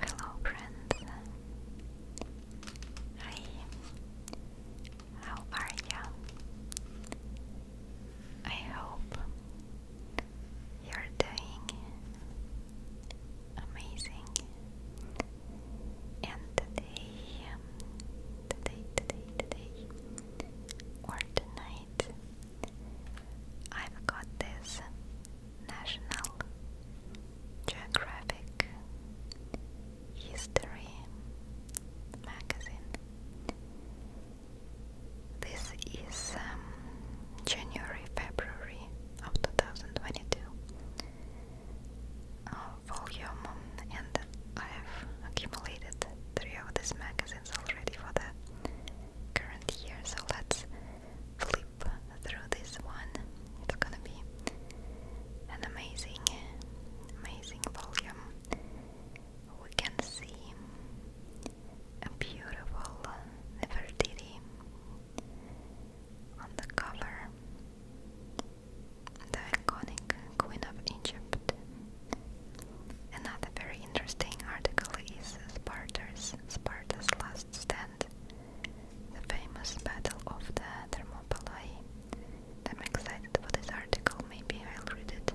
Hello, friends. Hi. How are you? I hope you're doing amazing. And today, um, today, today, today, or tonight, I've got this National Geographic History magazine. This is um, January February of 2022 uh, volume, and I have accumulated three of these magazines already for the current year. So let's flip through this one. It's gonna be an amazing, amazing volume. We can see a beautiful Nefertiti on the cover, the iconic Queen of Egypt. Another very interesting article is Sparta's, Sparta's last stand the famous Battle of the Thermopylae. I'm excited for this article, maybe I'll read it.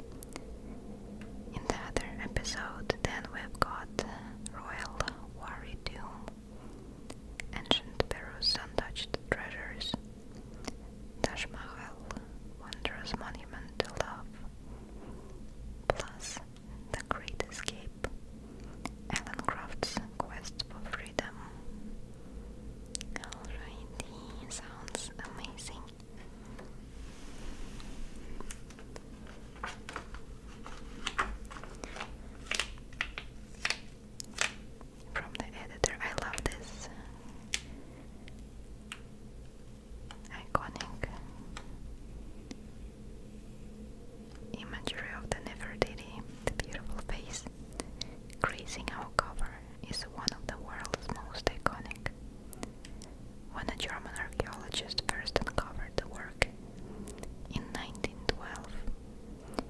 In the other episode, then we've got uh, Royal Wari Tomb, Ancient Peru's Untouched Treasures, Taj Mahal, Wondrous Monument to Love, plus the Great Escape, Alan Croft's Quest for Freedom. Alrighty, sounds amazing. From the editor, I love this iconic imagery of the Nefertiti, the beautiful face, gracing our cover, is one of the world's most iconic. When a German archaeologist first uncovered the work in 1912,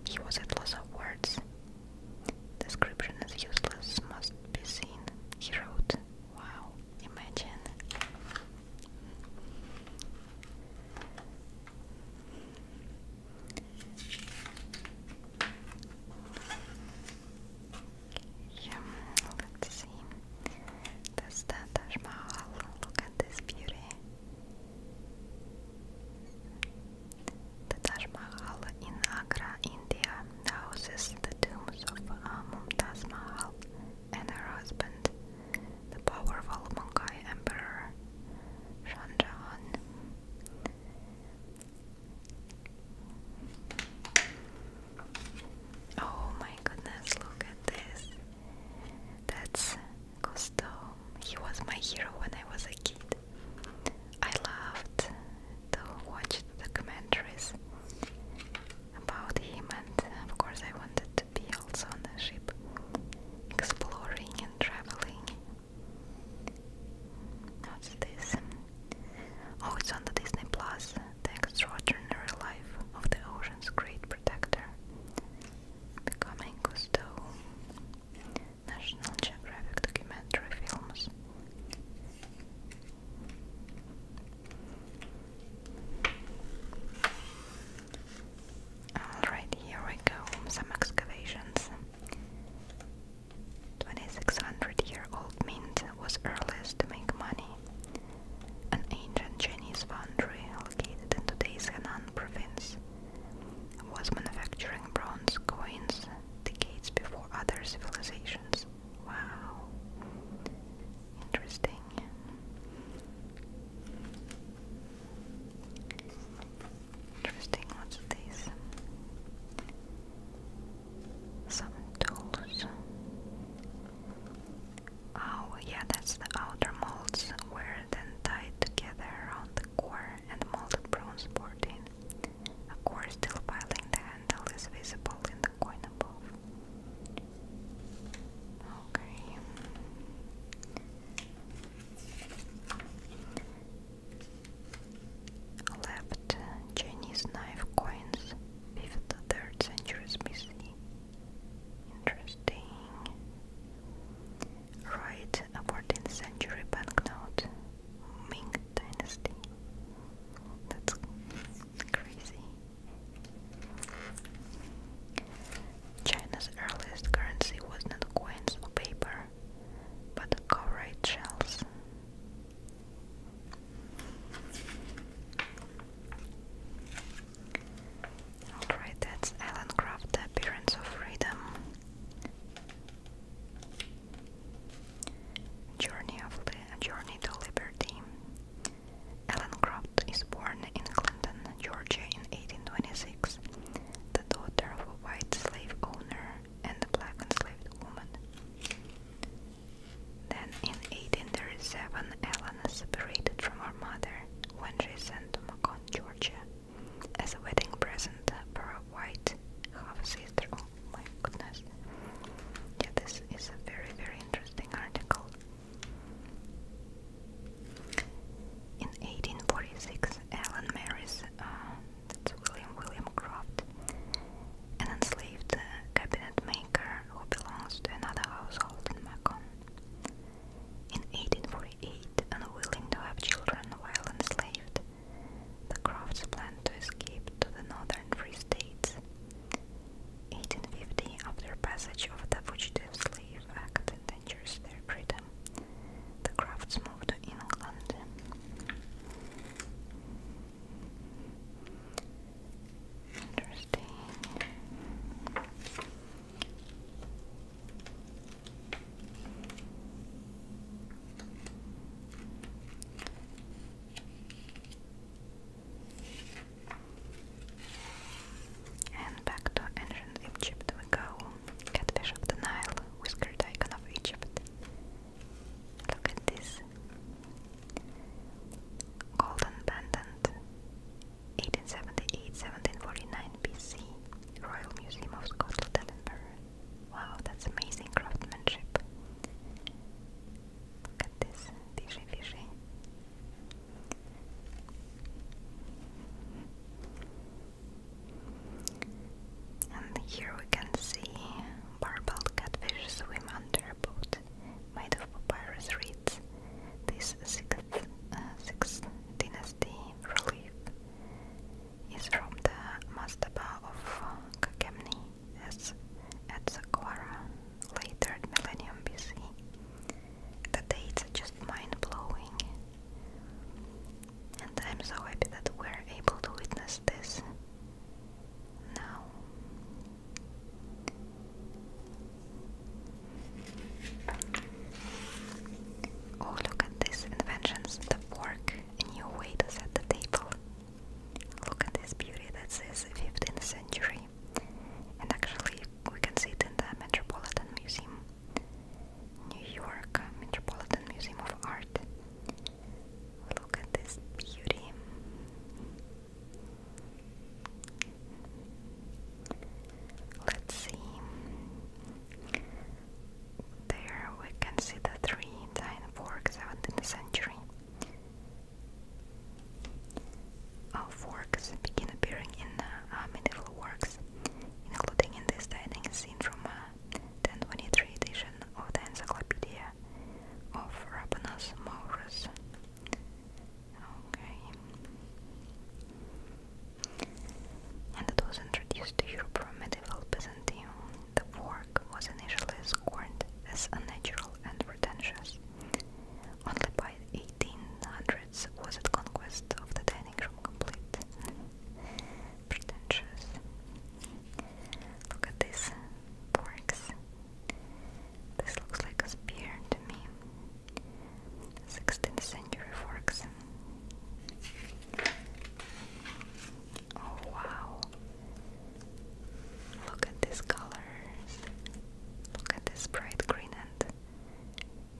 he was at loss of words. Description is useless, must be seen, he wrote. Wow, imagine Okay, let's see. That's the Taj Mahal. Look at this beauty. The Taj Mahal in Agra, India, now houses the tombs of uh, Mumtaz Mahal and her husband, the powerful Mongol Emperor Shanjahan. Oh my goodness, look at this. That's Gusto. He was my hero when I was a kid. I loved to watch the commentaries about him, and of course, I wanted to be also on the ship, exploring and traveling. What's this? Oh, it's on the Disney Plus. The Extraordinary Life of the Ocean's Great Protector. Becoming Cousteau. National Geographic documentary films. Alright, here we go. Some excavations. 2600 year old mint was earliest to make money. An ancient Chinese foundry located in today's Henan province was manufacturing bronze coins decades before other civilizations. Wow. Interesting. Interesting, what's this? Some tools. Oh, yeah, that's the outer molds were then tied together around the core and molded bronze board in. A core still piling the handle is visible in the coin above. Okay. Left Chinese knife coins, 5th, 3rd century BC. Interesting. Right, 14th century banknote, Ming Dynasty. That's crazy. China's earliest currency was not coins or paper, but cowrite shells. Alright, that's Alan Craft, The Appearance of Freedom. Journey of the Journey to Liberty. Alan Croft is born in Clinton, Georgia in 1826, the daughter of a white slave owner and a black enslaved woman. Then in 1837, Elena separated from her mother when she sent to Macon, Georgia, as a wedding present for a white half-sister. Oh my goodness. Yeah, this is a very, very interesting article. In 1846, Ellen marries uh, that's William William Croft, an enslaved uh, cabinet maker who belongs to another household in Macon. In 1848, unwilling to have children while enslaved, the Crofts planned to escape to the northern Free States. 1850, after passage of the Fugitive Slave Act their freedom. The Crafts moved to England. Interesting. And back to ancient Egypt we go. Catfish of the Nile, whiskered icon of Egypt. Look at this. Golden pendant. 1878 BC. Royal Museum of Scotland, Edinburgh. Wow, that's amazing craftsmanship. Look at this, fishy fishy. And here we can see barbelled catfish swim under a boat made of papyrus reeds. This sixth, uh, sixth dynasty relief is from the mastaba of Kakemni as at Saqqara, later millennium BC. The dates are just mind blowing. And I'm so happy that we're able to witness this now. Oh, look at these inventions the fork, a new way to set the table. Look at this beauty that says 15th century. And actually, we can see it in the Metropolitan Museum. New York Metropolitan Museum of Art. Look at this beauty. Let's see. There we can see the three fork, 17th century. All oh, forks begin appearing in uh, medieval works including in this dining scene from a 1023 edition of the Encyclopedia of Rabanus Maurus. Okay. And it was introduced to Europe from medieval Byzantium. The work was initially scorned as unnatural and pretentious. Only by 1800s was the conquest of the dining room complete. Pretentious. Look at this forks. This looks like a spear to me. 16th century forks. Oh wow. Look at these colors. Look at this bright green and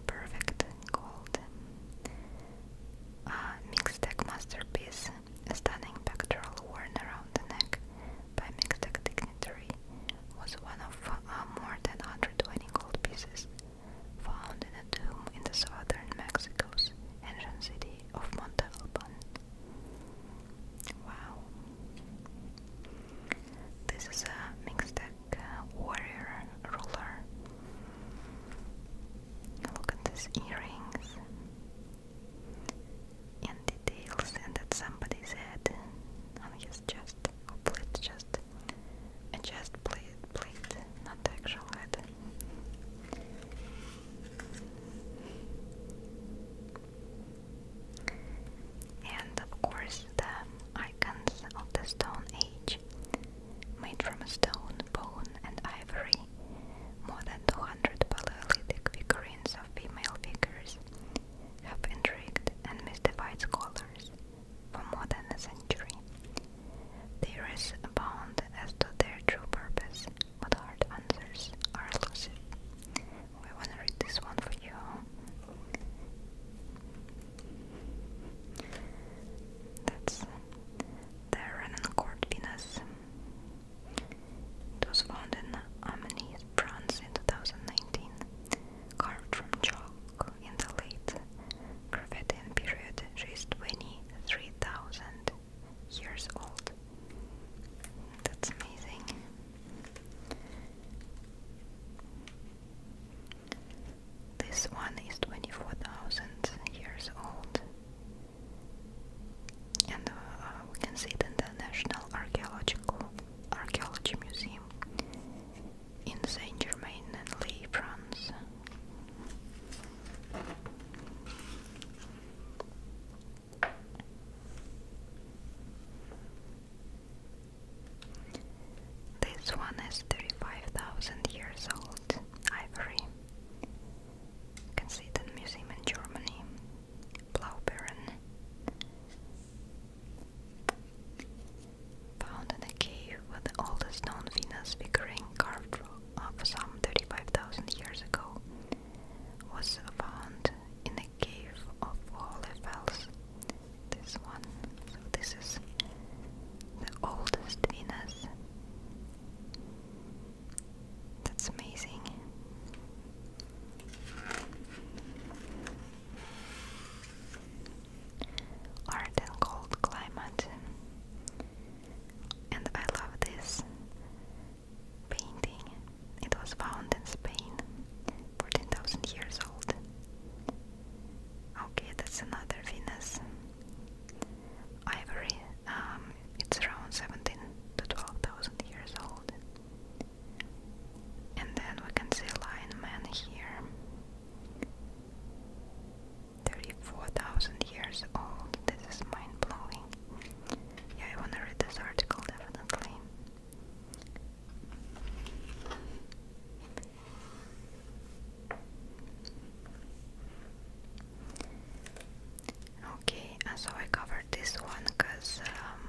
perfect golden uh, Mixtec masterpiece, stunning pectoral worn around the neck by Mixtec dignitary, was one of uh, more than 120 gold pieces found in a tomb in the southern Mexico's ancient city of Montalban. Wow. This is a Mixtec warrior ruler. Look at these earrings and details, and that somebody's head on his chest. Hopefully, it's just a chest plate, plate, not actual head. And of course, the icons of the Stone Age made from stone, bone, and ivory. More than 200 Paleolithic figurines of female figures have intrigued and mystified scholars for more than a century. There is a abound as to their true purpose, but hard answers are elusive. We want to read this one for you. That's the Renancourt Venus. It was found in Amenis, in 2019, carved from chalk in the late Gravettian period. She 23,000 years old. That's amazing. This one is 24,000 years old. And uh, uh, we can see it in the National Archaeological Archaeology Museum in Saint-Germain-en-Laye, France. This one is 35,000 years old, ivory. You museum in Germany. Blaubeeren. Found in a cave with the oldest known Venus figurine carved of some 35,000 years ago. Was found in a cave of Hohlefels this one. So this is the oldest in us. That's amazing. Art and cold climate. And I love this painting. It was found in Spain, 14,000 years old. Okay, that's another Venus. Ivory. Um, it's around seventeen to twelve thousand years old. And then we can see a Lion Man here. Thirty-four thousand years old. This is mind-blowing. Yeah, I wanna read this article definitely. Okay, so I covered this one because um,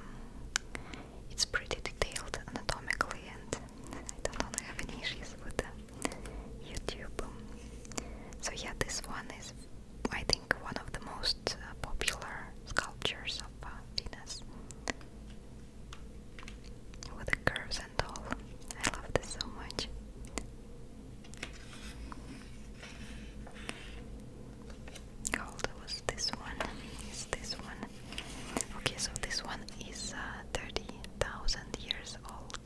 it's pretty detailed anatomically, and I don't want have any with YouTube. So yeah, this one is, I think, one of the most uh, popular sculptures of uh, Venus with the curves and all. I love this so much. How was this one? Is this one? Okay, so this one is uh, thirty thousand years old.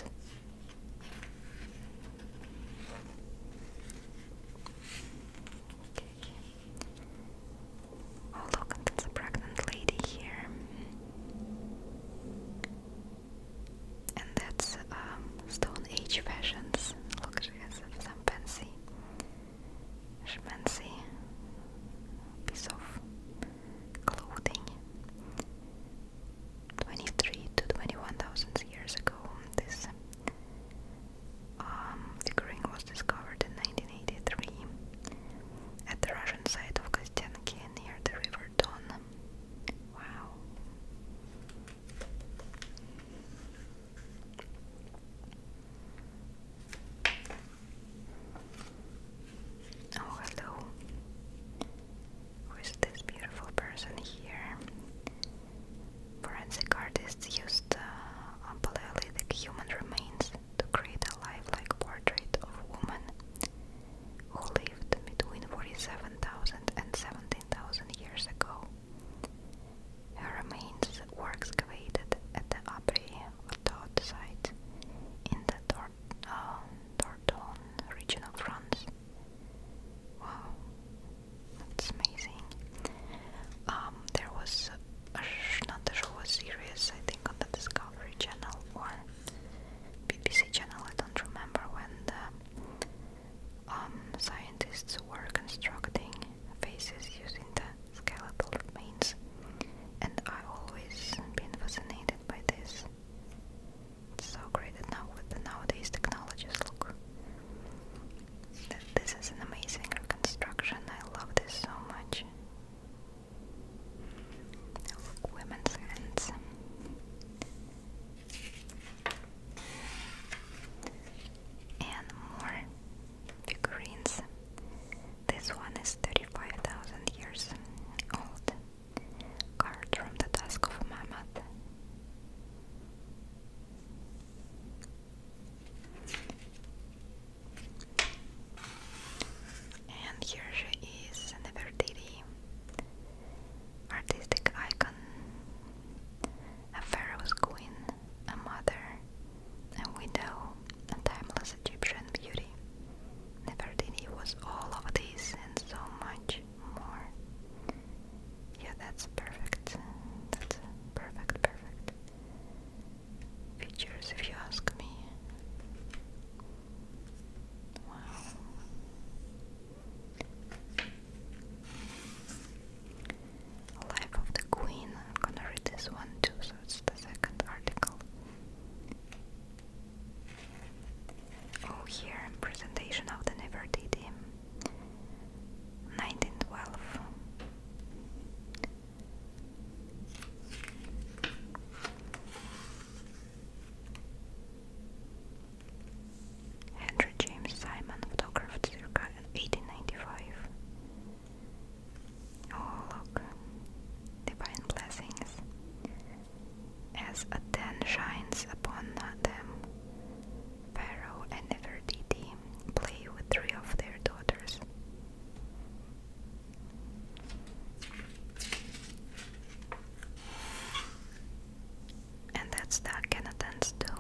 Okay. Oh look, there's a pregnant lady here. And that's um, Stone Age fashions. Look, she some fancy, schmancy piece of clothing. 23 to 21,000 years ago, this um, figurine was discovered in 1983 at the Russian site of Kostyanki near the River Don. Wow. Oh, hello. Who is this beautiful person here? Forensic artists used uh, paleolithic human remains to create a lifelike portrait of a woman who lived between 47,000 and 17,000 years ago. Her remains were excavated at the Abri Vatot site in the Dor uh, Dordogne region of France. Wow, that's amazing. Um, there was not a show, was serious, I think, on the Discovery Channel, one. BBC channel. I don't remember when the um, scientists were constructing faces using the skeletal remains, and I always been fascinated by this. It's so great that now with the nowadays technologies, look. This is an amazing reconstruction. I love this so much women's hands. And more figurines. This one is 35,000 years old. Card from the Task of Mammoth. And here she is, Nefertiti, artistic icon, a pharaoh's queen, a mother, a widow, a timeless Egyptian beauty. Nefertiti was all of this and so much more. Yeah, that's perfect. That's perfect, perfect. Features, if you ask me. Wow. Life of the Queen. I'm gonna read this one too, so it's the second article. Oh, here, presentation of the Never Nefertiti. 1912. Henry James Simon photographed circa 1895. Oh, look, divine blessings. As a den shines upon them, Pharaoh and Nefertiti play with three of their daughters. And that's the Akhenaten's tomb.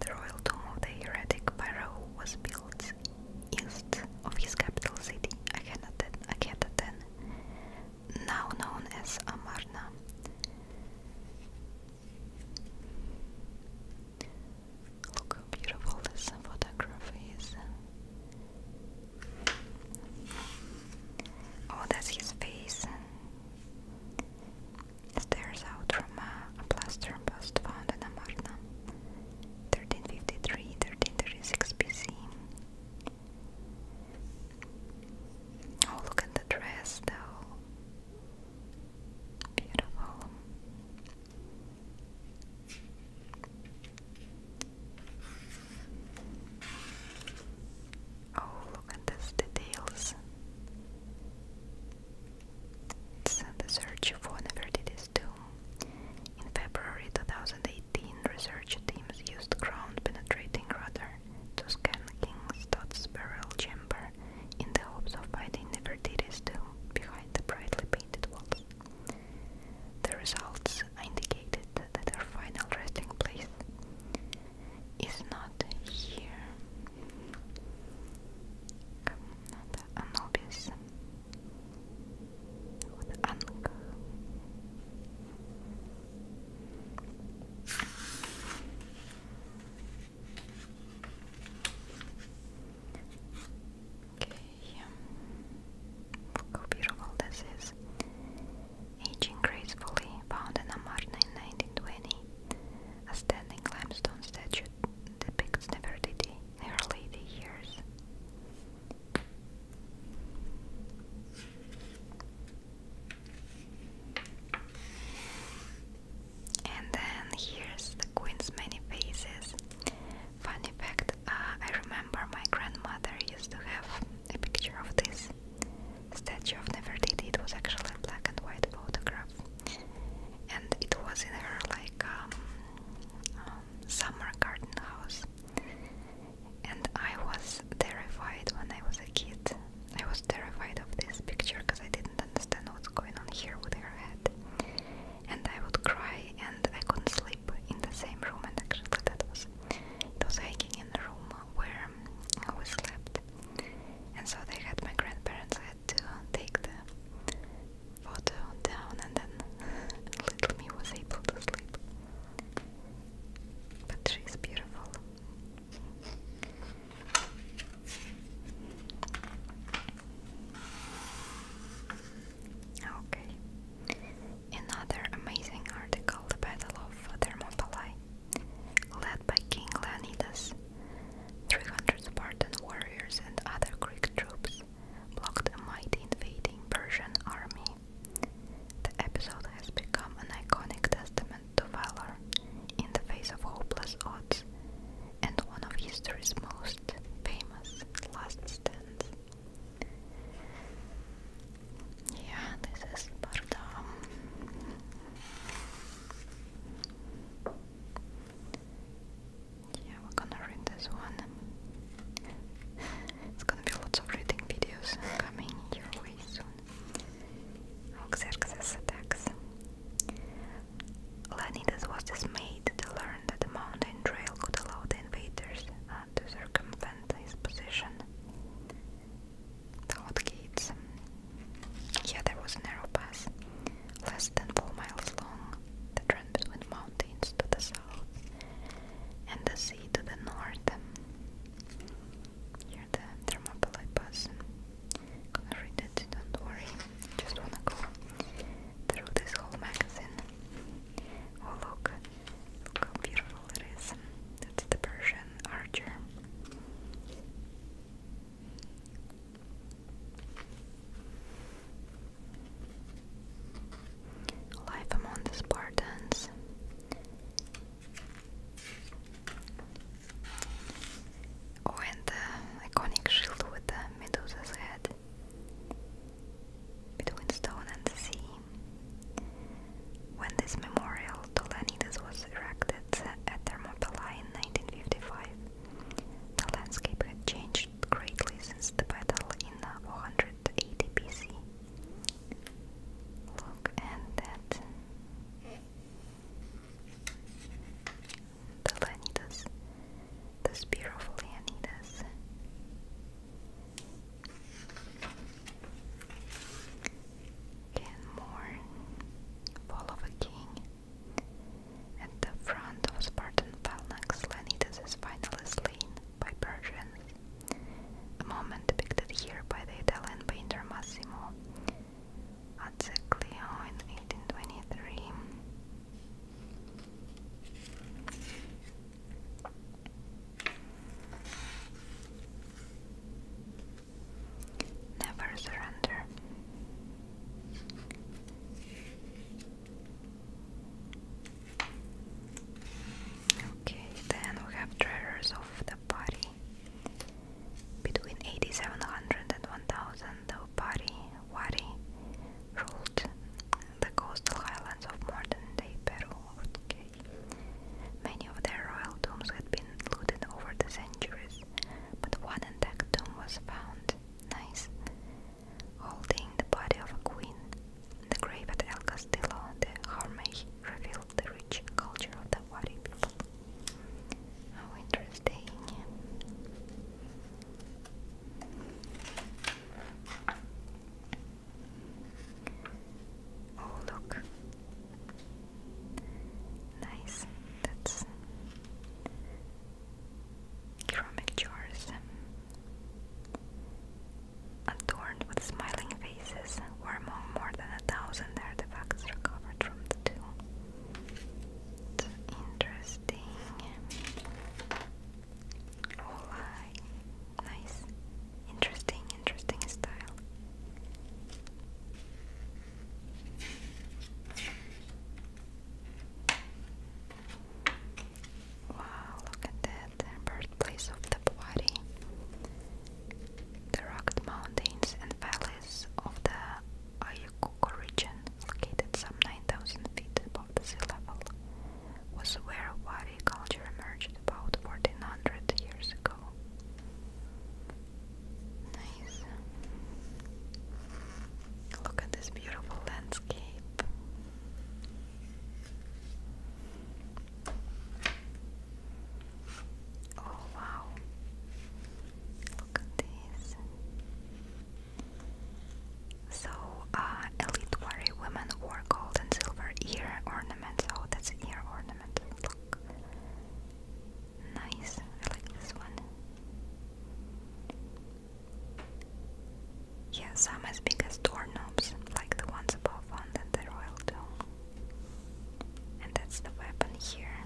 The royal tomb of the heretic pharaoh was built east of his capital city, Akhenaten, Akhenaten now known as Amarna. Look how beautiful this photograph is. Oh, that's his face. Stares out from a, plaster bust found in Amarna, 1353 BC. Oh, look at the dress, though. Beautiful. Oh, look at these details. It's the search for Nefertiti's tomb. In February 2018, research teams used ground-penetrating radar to scan King's Todd's burial chamber in the hopes of finding Nefertiti's tomb behind the brightly painted walls. The results indicated that our final resting place is not here how beautiful this is. Aging gracefully, found in Amarna in 1920, a standing limestone statue depicts Nefertiti in her later years. And then here's the Queen's many faces. Funny fact uh, I remember my grandmother used to have a picture of this statue of Never Did. It was actually a black and white photograph, and it was in her like um, um, summer garden house. And I was terrified when I was a kid. I was terrified of this picture because I didn't understand what's going on here with her head. And I would cry, and I couldn't sleep in the same room. And actually, that was it was hiking in the room where we slept, and so they had my grandparents had to take the photo down, and then little me was able to sleep. But she's beautiful. Okay, Another amazing article, The Battle of Thermopylae, led by King Leonidas. 300 Spartan warriors and other Greek troops blocked a mighty invading Persian army. The episode has become an iconic testament to valor in the face of hopeless odds and one of history's most famous last stands. Yeah, this is Sparta. Yeah, we're gonna read this one. It's gonna be lots of reading videos coming your way soon. Xerxes attacks. Leonidas was dismayed to learn that the mountain trail could allow the invaders uh, to circumvent and his position. The hot gates. Here there was a narrow pass, less than four miles long, that ran between mountains to the south and the sea to the north. Here the Thermopylae pass. Gonna read it, don't worry. Just wanna go through this whole magazine. Oh look, Look how beautiful it is. That's the Persian archer. Life among the Spartans. Oh, and the iconic shield with the Medusa's head between stone and sea. When this memorial to Leonidas was erected at Thermopylae in 1955, the landscape had changed greatly since the battle in 480 BC. Look at that. The Leonidas, the Ken Moore, Fall of a King. At the front of Spartan phalanx, Leonidas is finally slain by Persians. A moment depicted here by the Italian painter Massimo Azzeclio in 1823. Never surrender. Okay, then we have treasures of the body. Between 8700 and 1000, the body Wari ruled the coastal highlands of modern day Peru. Many of their royal tombs had been looted over the centuries, but one intact tomb was found, nice, holding the body of a queen. The grave at El Castillo de Harmay revealed the rich culture of the Wari people. How interesting! Oh, look. Nice. That's ceramic jars adorned with smiling faces, among more than a thousand artifacts recovered from the tomb. interesting. Oh, I Nice. Interesting, interesting style. Wow, look at that. birthplace of the Puari. The rugged mountains and valleys of the Ayacucho region, located some 9,000 feet above sea level, was where Wadi culture emerged about 1400 years ago. Nice. Look at this beautiful landscape. Oh wow. Look at this. So, uh, elite warrior women wore gold and silver ear ornaments Oh, that's an ear ornament. Look. Nice. I like this one. Yeah, some as big as doorknobs, like the ones above on the, royal dome. And that's the weapon here.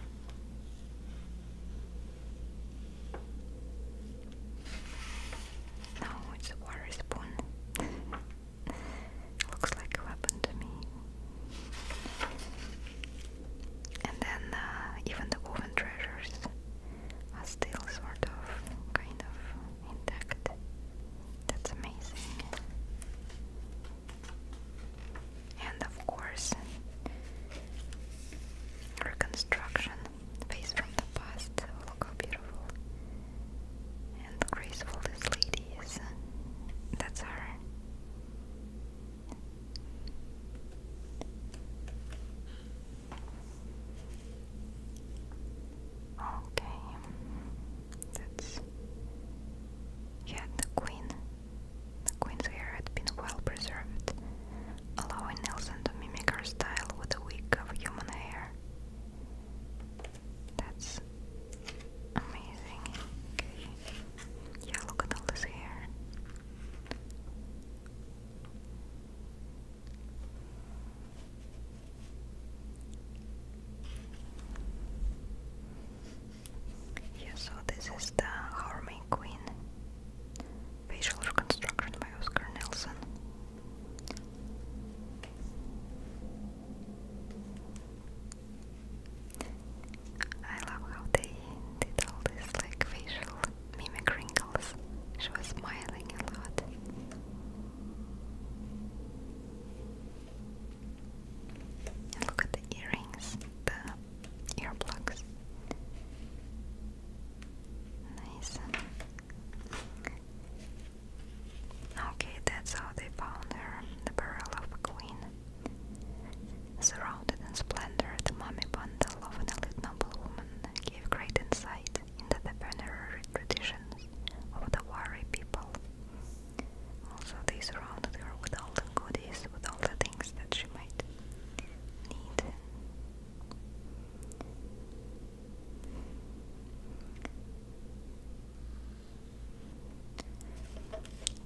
No, it's a water spoon. Looks like a weapon to me. And then uh, even the woven treasures are still sort of kind of intact. That's amazing. And of course, reconstruction, face from the past. Look how beautiful and graceful this lady uh, That's her. Okay, that's yeah. The queen, the queen's hair had been well preserved, allowing Nelson to mimic her style with a wig of human hair. That's amazing. Yeah, look at all this hair. Yeah, so this is the Harmony Queen facial reconstruction by Oscar Nelson. I love how they did all this like facial mimic wrinkles. She was smiling a lot. look at the earrings, the earplugs. Nice. Okay, that's how they found her, the burial of a queen. Surrounded in splendor, the mummy bundle of an elite noblewoman gave great insight into the funerary traditions of the Wari people. Also, they surrounded her with all the goodies, with all the things that she might need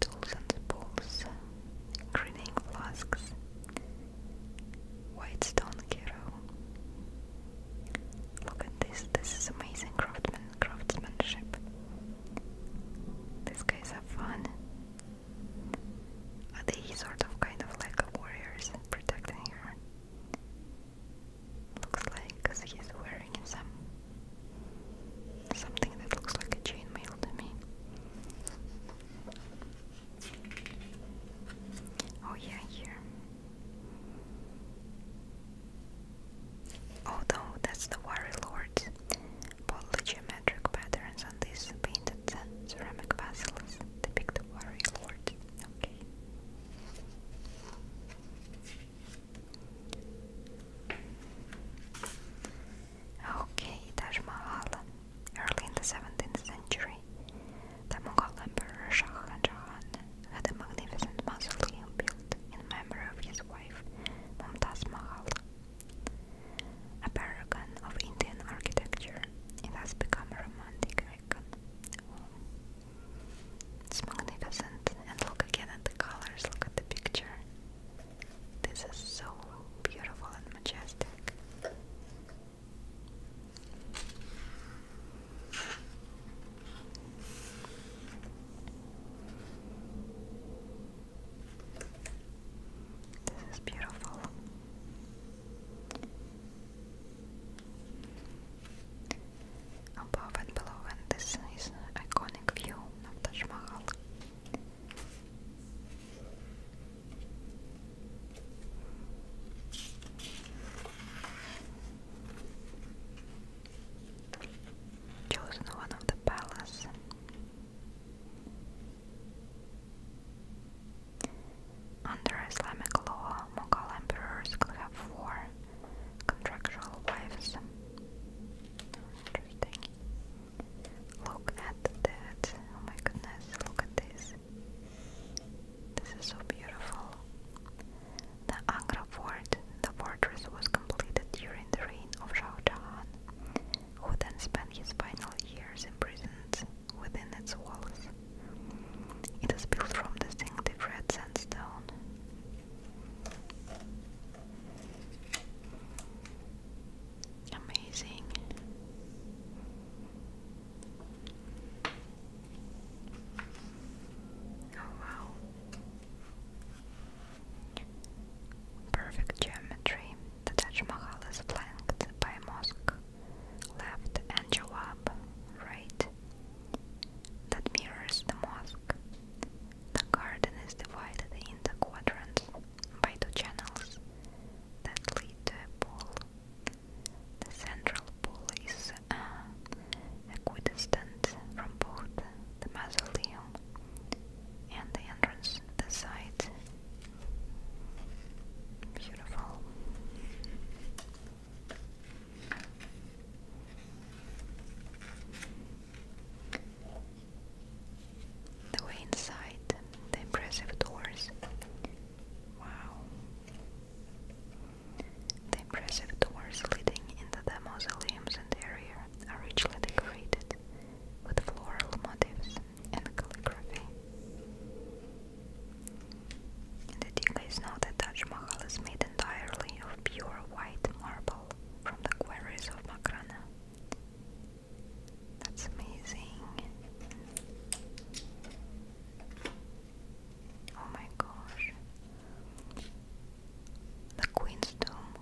tools and spools, grinning flasks, white stone hero. Look at this, this is amazing craftsmanship. These guys are fun. Are they sort of kind of like warriors protecting her? Looks like he's wearing some something that looks like a chainmail to me. Oh yeah, here. Although that's the Warrior Lord, both geometric patterns on these painted ceramic vessels depict the Warrior Lord. Okay. Okay, Taj Mahal. Early in the 17th century, the Mughal Emperor Shah Jahan had a magnificent mausoleum built in memory of his wife, Mumtaz Mahal. A paragon of Indian architecture, it has become a romantic icon it's magnificent. And look again at the colors, look at the picture. This is so beautiful and majestic. This is beautiful above and below, and this is an iconic view of Taj Mahal. Chosen one of the palace. Under Islamic law, Mughal emperors could have four Contractual wives. Interesting. Look at that. Oh my goodness, look at this. This is so beautiful. The Agra fort, the fortress was completed during the reign of Shah Jahan, who then spent his final years imprisoned within its walls. It is built from distinctive red sandstone, Amazing. Oh wow. Perfect geometry. The Taj Mahal is flanked by mosque. Left and Jawab, right. That mirrors the mosque. The garden is divided into quadrants by two channels that lead to a pool. The central pool is uh, equidistant from both the mausoleum and the entrance to the site. Beautiful. The way inside, the impressive doors. Wow. The impressive doors leading into the mausoleums and area are richly decorated with floral motifs and calligraphy. The Diga is now the Taj Mahal is made entirely of pure white marble from the quarries of Makrana. That's amazing. Oh my gosh. The Queen's Tomb,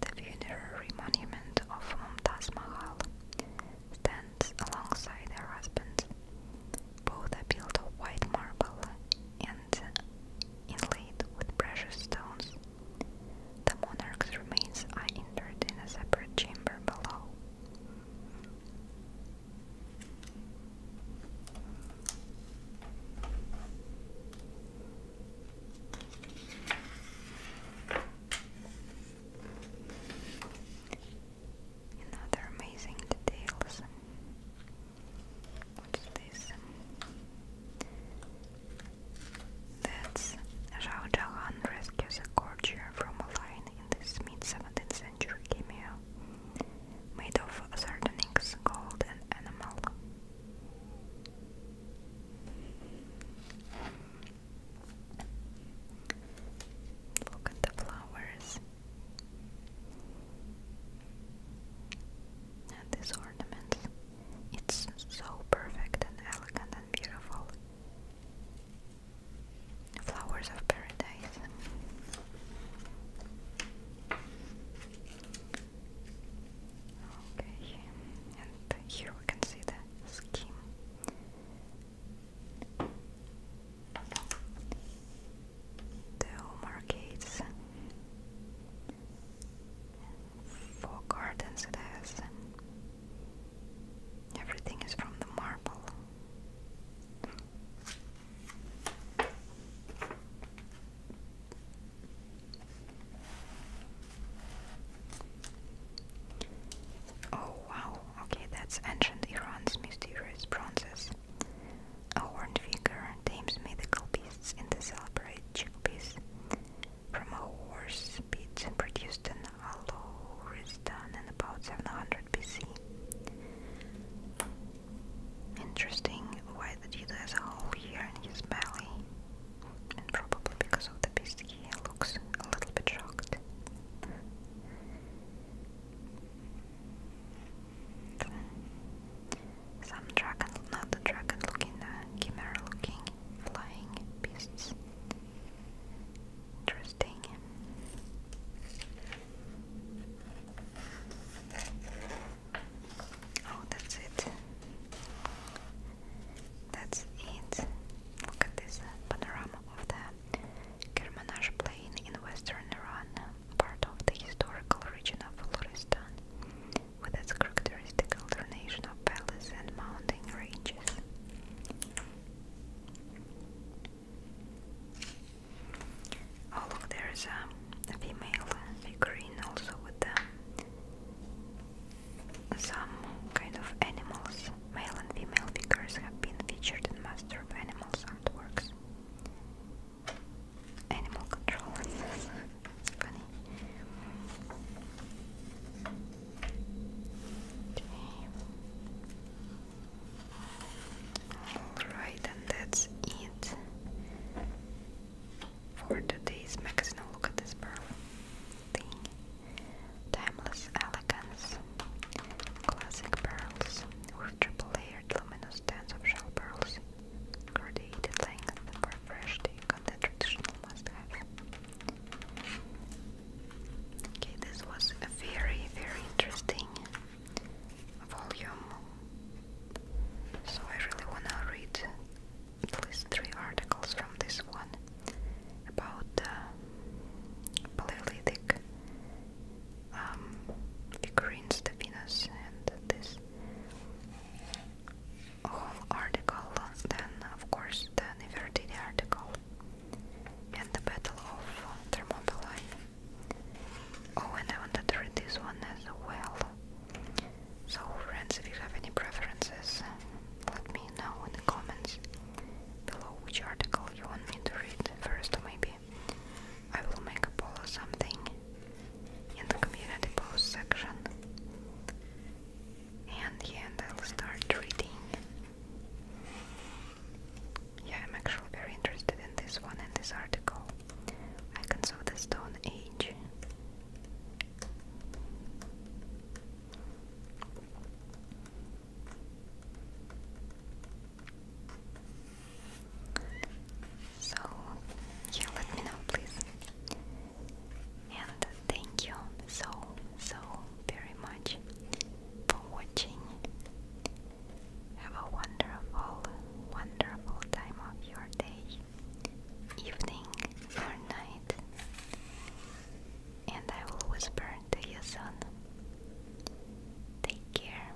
the funerary monument of Mumtaz Mahal, stands alongside her husband. Both are built of white marble inlaid with precious stones. The monarch's remains are interred in a separate chamber below. Another amazing details What's this? That's Zhao Jahan rescues a courtier from a lion in this mid 17th century cameo made of sardonyx, gold, and animal. Look at the flowers. This ornament It's so perfect and elegant and beautiful. Flowers of Paradise. Okay, and here we can see the scheme the home arcades four gardens it has and everything is from the marble Oh wow, okay, that's ancient Iran's mysterious bronzes. A horned figure tames mythical beasts in the celebrated chickpeas. From a horse pit produced in Alauristan in about 700 BC. Interesting why the cheetah has a hole here in his belly. And probably because of the beast he looks a little bit shocked. Some dragon, not the dragon looking, uh, chimera looking, flying beasts. Interesting. Oh, that's it. That's it. Look at this panorama of the Kermanaj plain in western Iran part of the historical region of Florestan, with its characteristic alternation of valleys and mountain ranges. Oh look, there is um, a, female figurine also with um, some kind of animals. Male and female figures have been featured in Master of Animals artworks animal control. funny. Alright, and that's it for today's magazine. Oh, look at this pearl thing. Timeless elegance, classic pearls with triple layered luminous bands of shell pearls created things that were fresh take on the traditional must Okay, this was a very, very interesting volume. So I really wanna read at least three articles from this one about the Paleolithic um, figurines, the Venus, and this whole article, then of course the Nefertiti article and the Battle of Thermopylae. Oh, and I wanted to read this one as well. So, friends, if you have any preferences, let me know in the comments below which article you want me to read first, maybe. I will make a poll or something in the community post section. And yeah, I'll start reading. Yeah, I'm actually very interested in this one and this article. I can saw the Stone Age. So, yeah, let me know, please. And thank you so, so very much for watching. Have a wonderful, wonderful time of your day, evening, or night. And I will whisper to you soon. Take care.